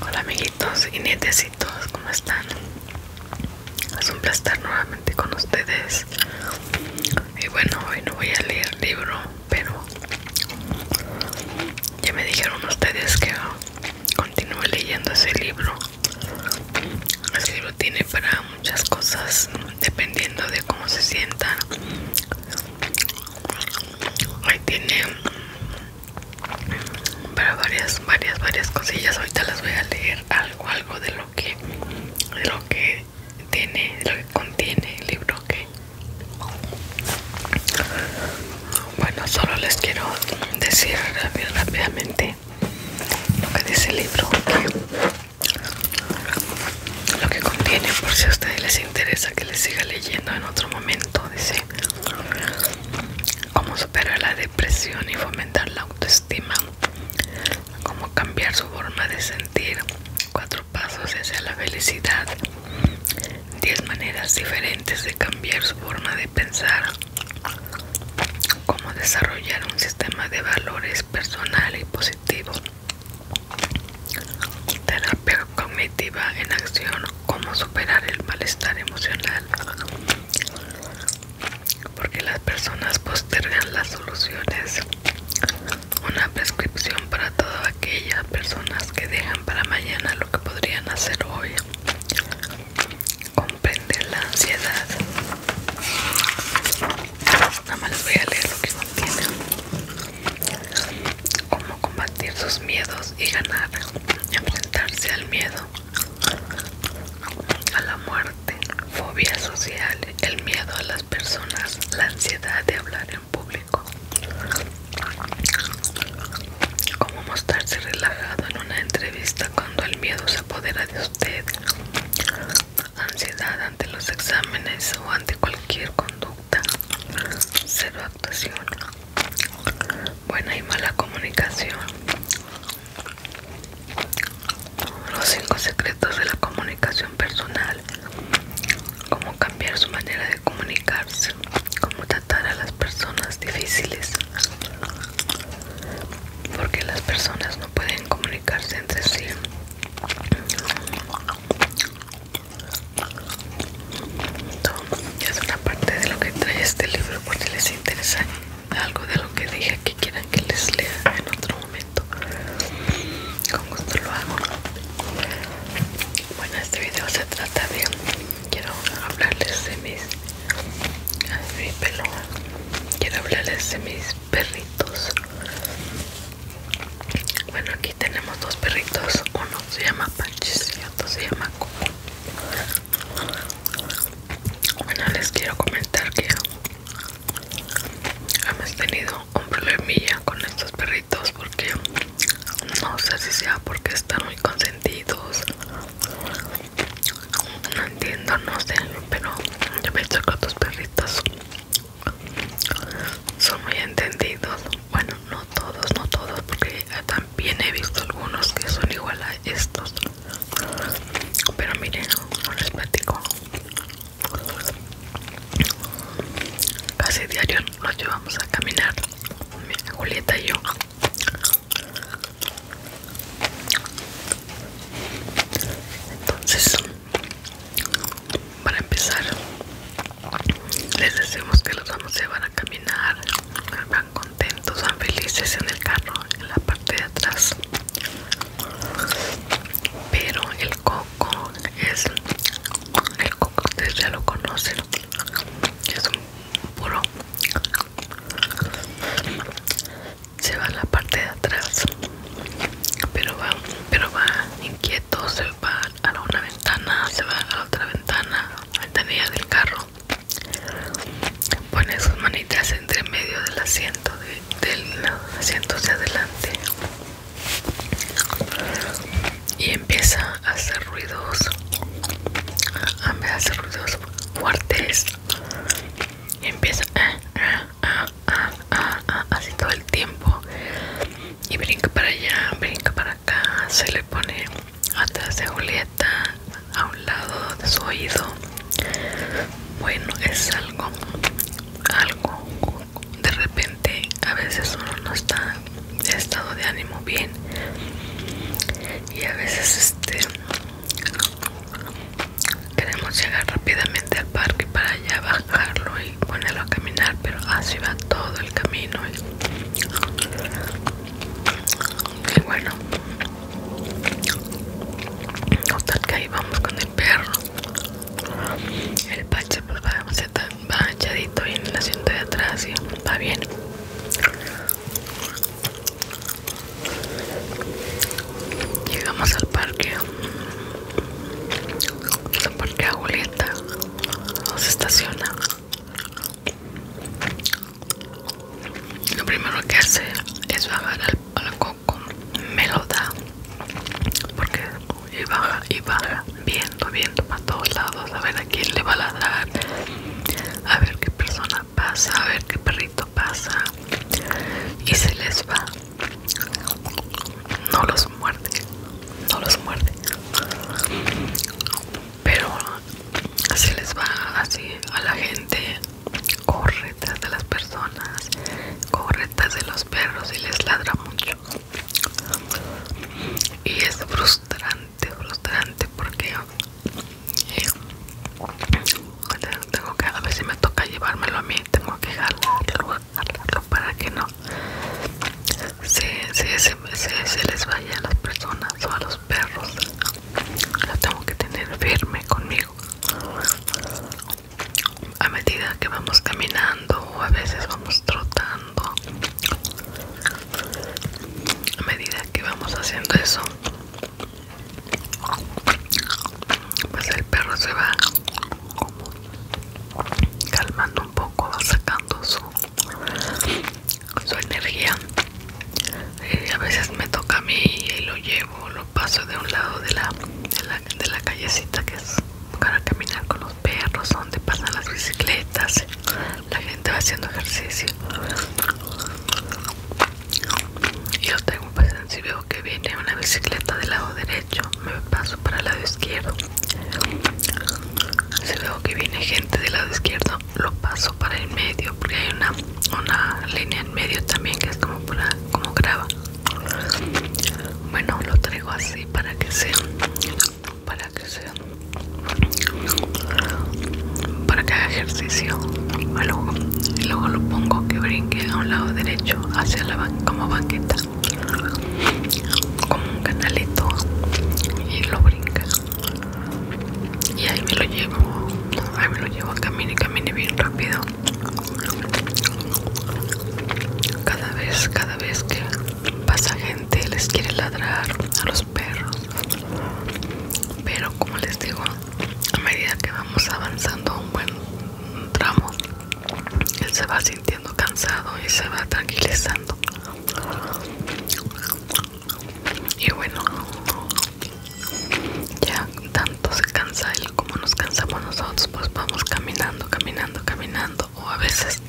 Hola amiguitos y nietecitos, ¿cómo están? Es un placer nuevamente con ustedes. Y bueno, hoy no voy a leer libro, pero ya me dijeron ustedes que continúe leyendo ese libro. Ese libro tiene para muchas cosas, dependiendo de cómo se sientan Hoy tiene mm, varias, varias, varias cosillas. Ahorita las voy a leer algo, algo de lo que, lo que tiene, lo que contiene el libro, que. Bueno, solo les quiero decir rápidamente lo que dice el libro, lo que contiene, por si a ustedes les interesa que les siga leyendo en otro momento dice cómo superar la depresión y fomentar la autoestima, cómo cambiar su forma de sentir, cuatro pasos hacia la felicidad, diez maneras diferentes de cambiar su forma de pensar, cómo desarrollar un sistema de valores personal y positivo, Terapia cognitiva en acción, cómo superar el malestar emocional. Porque las personas postergan las soluciones. Una prescripción para todas aquellas personas que dejan para mañana lo que podrían hacer hoy. Comprender la ansiedad. Nada más les voy a leer lo que contiene cómo combatir sus miedos y ganar, enfrentarse al miedo, a la muerte, fobia social, el miedo a las personas, la ansiedad de hablar en público, cómo mostrarse relajado en una entrevista cuando el miedo se apodera de usted, ansiedad ante los exámenes o ante cualquier conducta cero actuación, buena y mala comunicación, los cinco secretos de la comunicación personal, cómo cambiar su manera de comunicarse, cómo tratar a las personas difíciles, porque las personas no pueden comunicarse entre sí es una parte de lo que trae este libro porque les interesa algo de lo que dije que quieran que les lea en otro momento con gusto lo hago bueno este video se trata de quiero hablarles de mis de mi pelo quiero hablarles de mis perritos bueno, aquí tenemos dos perritos. Uno se llama Pachis y otro se llama Coco. Bueno, les quiero comentar que hemos tenido un problema con estos perritos porque no sé si sea porque están muy consentidos. No entiendo, no sé, pero yo hecho con estos perritos son muy entendidos bueno no todos no todos porque también he visto algunos que son igual a estos pero miren un les casi diario nos llevamos a caminar Julieta y yo entonces para empezar, les decimos que los vamos se van a caminar, van contentos, van felices en el carro, en la parte de atrás. Pero el coco es, el coco ustedes ya lo conocen, es un puro. Se va en la parte de atrás pero va pero va inquieto se va a la una ventana se va a la otra ventana ventanilla del carro pone sus manitas entre medio del asiento de, del asiento hacia adelante y empieza a hacer ruidos a hacer ruidos fuertes y empieza ah, ah, así todo el tiempo y brinca para allá, brinca para acá, se le pone atrás de Julieta, a un lado de su oído. Bueno, es algo, algo. De repente, a veces uno no está de estado de ánimo bien y a veces este queremos llegar rápidamente al parque para ya bajarlo y ponerlo a caminar, pero así va todo el camino. Y, bueno, total que ahí vamos con el perro. El pache pues va, va en el asiento de atrás y va bien. Llegamos al parque porque a Julieta se estaciona lo primero que hace es bajar al, coco me porque y baja y baja viendo viendo para todos lados a ver a quién le va a ladrar a ver qué persona pasa a ver qué perrito pasa y se les va no los muerde no los muerde pero así les va así a la gente corre tras de las personas corre tras de los perros y les ladra mucho y es frustrante frustrante porque eh, tengo que a me toca llevármelo a mí tengo que jalarlo para que no se, se les vaya a las personas o a los perros lo tengo que tener firme conmigo a medida que vamos caminando o a veces vamos trotando a medida que vamos haciendo eso pues el perro se va como calmando un poco, sacando su, energía. Y a veces me toca a mí y lo llevo, lo paso de un lado de la, de la, callecita que es para caminar con los perros, donde pasan las bicicletas, la gente va haciendo ejercicio. Y yo tengo si veo que viene una bicicleta del lado derecho, me paso para el lado izquierdo. Si veo que viene gente del lado izquierdo, lo paso para el medio, porque hay una, línea en medio también que es como, como grava. Bueno, lo traigo así para que sea, para que sea, para que haga ejercicio. y luego lo pongo que brinque a un lado derecho hacia la como banqueta como un canalito y lo brinca y ahí me lo llevo ahí me lo llevo camino y camine bien rápido cada vez cada vez que pasa gente les quiere ladrar a los perros pero como les digo a medida que vamos avanzando un buen tramo él se va sintiendo cansado y se va tranquilizando. Y bueno, ya tanto se cansa él como nos cansamos nosotros, pues vamos caminando, caminando, caminando o a veces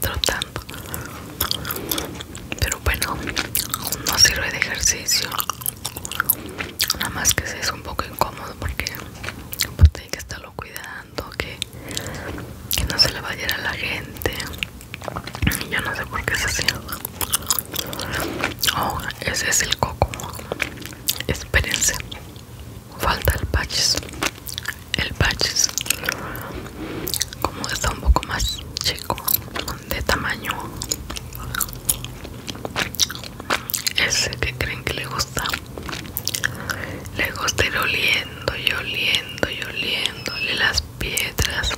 trotando. Pero bueno, no sirve de ejercicio. Nada más que es un poco incómodo porque pues hay que estarlo cuidando que, no se le vaya a la gente yo no sé por qué es así oh ese es el coco espérense falta el patch. el patch como está un poco más chico de tamaño ese que creen que le gusta le gusta ir oliendo y oliendo y oliéndole las piedras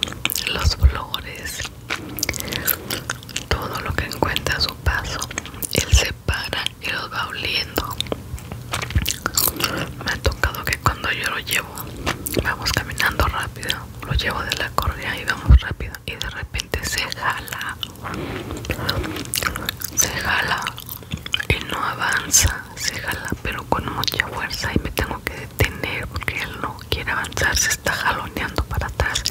los flores todo lo que encuentra a su paso él se para y los va oliendo me ha tocado que cuando yo lo llevo vamos caminando rápido lo llevo de la correa y vamos rápido y de repente se jala, se jala y no avanza, se jala pero con mucha fuerza y me tengo que detener porque él no quiere avanzar, se está jaloneando para atrás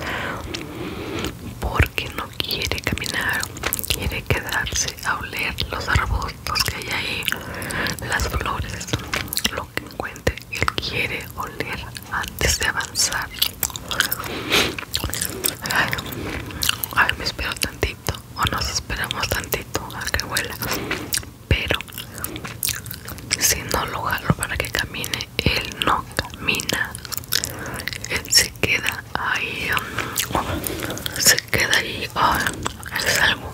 porque no quiere caminar, quiere quedarse a oler los arbustos que hay ahí, las flores, lo que encuentre, él quiere oler antes de avanzar a ver me espero tantito o nos esperamos tantito a que vuela pero si no lo jalo para que camine él no camina él se queda ahí se queda ahí es algo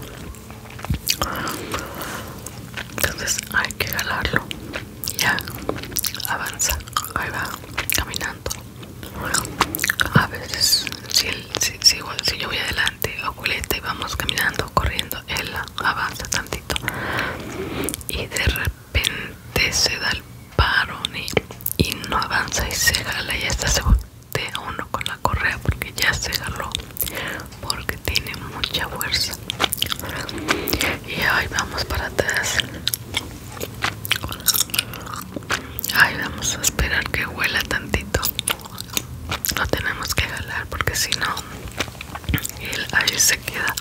entonces hay que jalarlo ya avanza ahí va caminando a veces si, si, si, yo voy adelante culeta y vamos caminando corriendo él avanza tantito y de repente se da el parón y, no avanza y se jala y hasta se voltea uno con la correa porque ya se jaló porque tiene mucha fuerza y ahí vamos para atrás ahí vamos a esperar que huela tantito No tenemos que jalar porque si no Él ahí se queda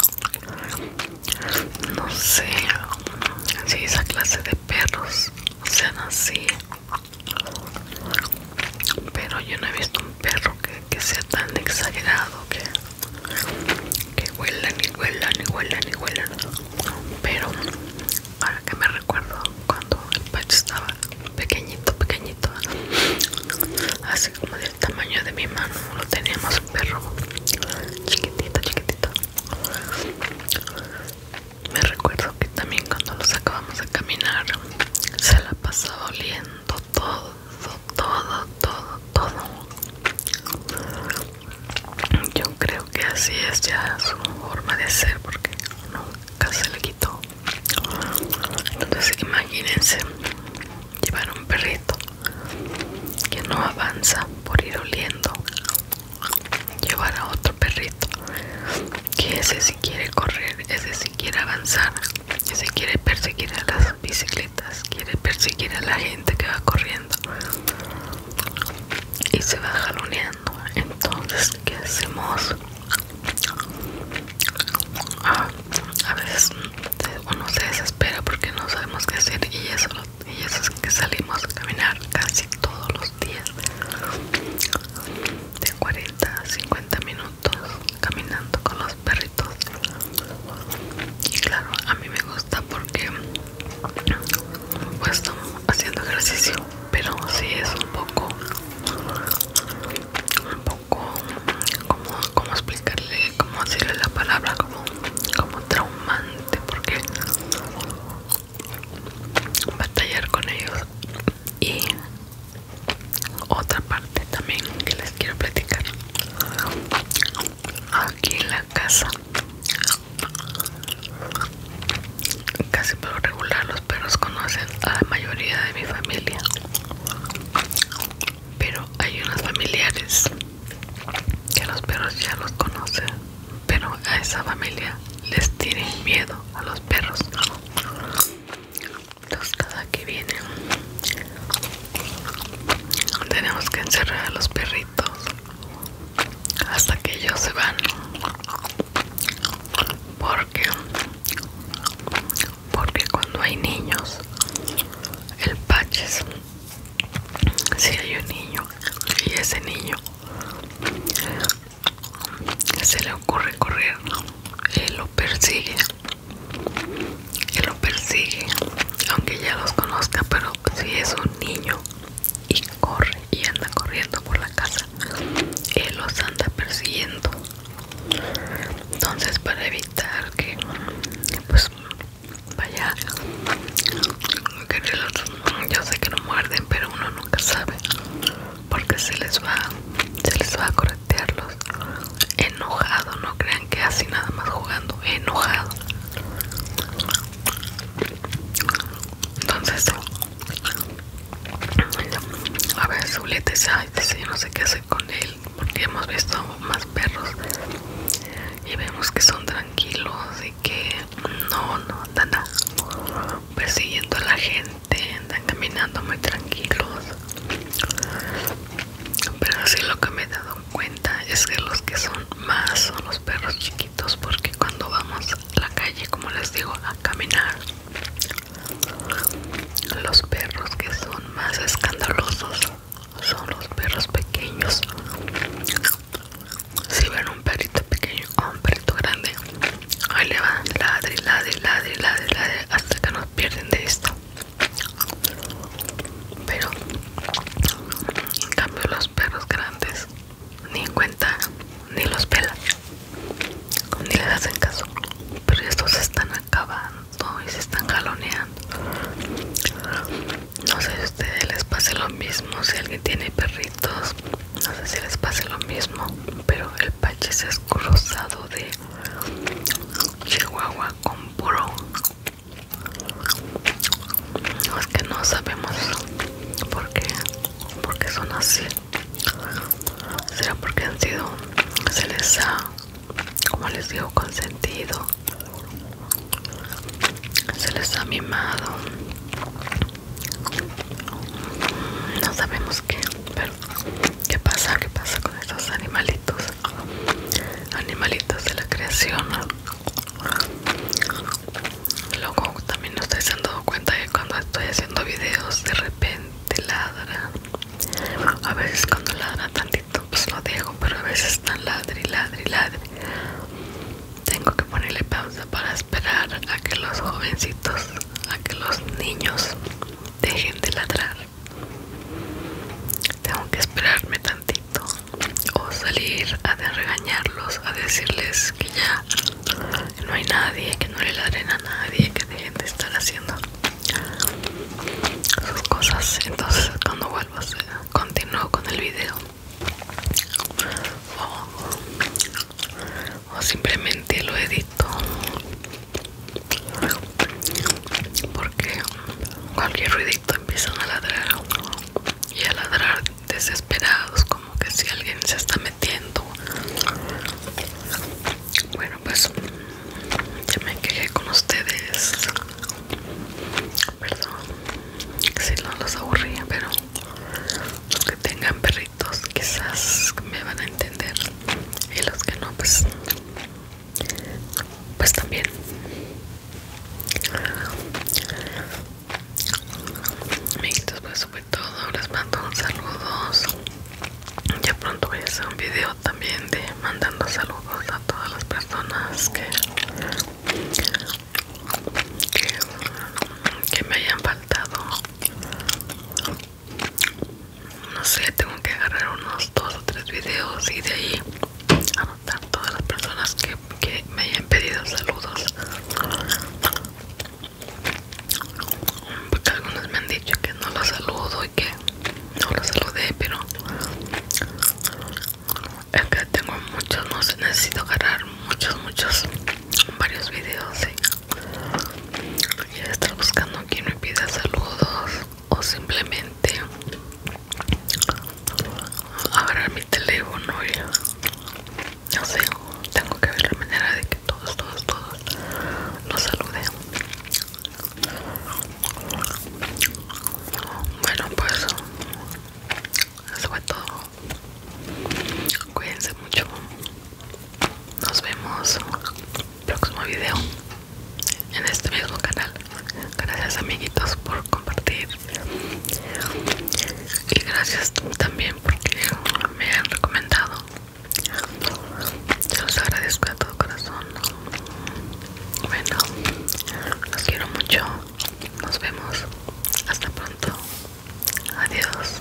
no sé si esa clase de perros sean así pero yo no he visto un perro que, que sea tan exagerado que que huelen y huelan y huelan y huelan pero ahora que me recuerdo cuando el pecho estaba pequeñito pequeñito así como del tamaño de mi mano lo teníamos perro chiquitito chiquitito me recuerdo que también cuando nos acabamos de caminar se la pasaba oliendo todo, todo, todo, todo. Yo creo que así es ya su forma de ser porque nunca se le quitó. Entonces imagínense llevar un perrito que no avanza por ir oliendo. Llevar a otro perrito que ese si quiere correr, ese si quiere avanzar, ese quiere perseguir a las bicicletas, quiere perseguir a la gente que va corriendo y se va jaloneando. Entonces, ¿qué hacemos? Ah, a veces uno se desespera porque no sabemos qué hacer y eso, y es que salimos a caminar casi todos los días de 40 50 minutos caminando con los perritos y claro a mí me gusta porque pues estamos haciendo ejercicio pero si es un poco un poco como, como explicarle como decirle la palabra como como traumante porque batallar con ellos y otra parte también que les quiero platicar aquí en la casa casi por lo regular los perros conocen a la mayoría de mi familia pero hay unos familiares que los perros ya los conocen pero a esa familia les tienen miedo a los perros los cada que viene tenemos que encerrar a los perritos hasta que ellos se van porque porque cuando hay niños el paches si hay un niño y ese niño se le ocurre correr él lo persigue que lo persigue, aunque ya los conozca, pero si es un niño y corre y anda corriendo por la casa, él los anda persiguiendo. Entonces para evitar que pues vaya yo sé que no muerden, pero uno nunca sabe porque se les va se les va a corretearlos enojado, no crean que así nada más jugando, enojado. Entonces, a ver, su yo no sé qué hacer con él, porque hemos visto más perros y vemos que son tranquilos y que no, no andan persiguiendo a la gente, andan caminando muy tranquilos pero sí lo que me he dado cuenta es que los que son más son los perros chiquitos porque cuando vamos a la calle como les digo a caminar los perros que son más escandalosos son los perros pequeños si ven un perrito pequeño o un perrito grande ahí le van ladre ladre ladre ladre ladre hasta que nos pierden de esto pero en cambio los perros grandes ni cuenta, ni los pelan, ni les hacen caso. Pero estos se están acabando y se están jaloneando. No sé si a ustedes les pase lo mismo, si alguien tiene perritos, no sé si les pase lo mismo, pero el pache se ha escruzado de Chihuahua con puro Es que no sabemos por qué, porque son así. Será porque han sido, se les ha, como les digo, consentido. Se les ha mimado. No sabemos qué, pero ¿Qué pasa? ¿Qué pasa con estos animalitos? Animalitos de la creación. Luego también ustedes estoy han dado cuenta que cuando estoy haciendo videos de repente ladra. A veces cuando ladra tantito pues lo dejo, pero a veces están ladri, ladri, ladre. Tengo que ponerle pausa para esperar a que los jovencitos, a que los niños dejen de ladrar tengo que esperarme tantito o salir a regañarlos a decirles que ya no hay nadie que no le ladren a nadie que dejen de estar haciendo sus cosas entonces cuando vuelva a continúo con el video o simplemente lo edito porque cualquier ruidito empiezan a ladrar y a ladrar desesperados como que si alguien se está metiendo bueno pues ya me quedé con ustedes perdón si no los aburría pero los que tengan perritos quizás me van a entender y los que no pues pues también amiguitos pues fue todo les mando un saludos ya pronto voy a hacer un video también de mandando saludos a todas las personas que, que me hayan faltado no sé tengo que agarrar unos dos o tres videos y de ahí anotar todas las personas que, que me hayan pedido saludos porque algunos me han dicho que no los saludo y que no los saludé pero es que tengo muchos no sé necesito agarrar muchos muchos varios videos ¿sí? ya estar buscando quien me pida saludos o simplemente agarrar mi teléfono y no sé tengo que ver la manera de que todos todos todos nos saluden bueno pues eso fue todo cuídense mucho nos vemos próximo video en este mismo canal. Gracias amiguitos por compartir y gracias también porque me han recomendado. los agradezco de todo corazón. Bueno, los quiero mucho. Nos vemos. Hasta pronto. Adiós.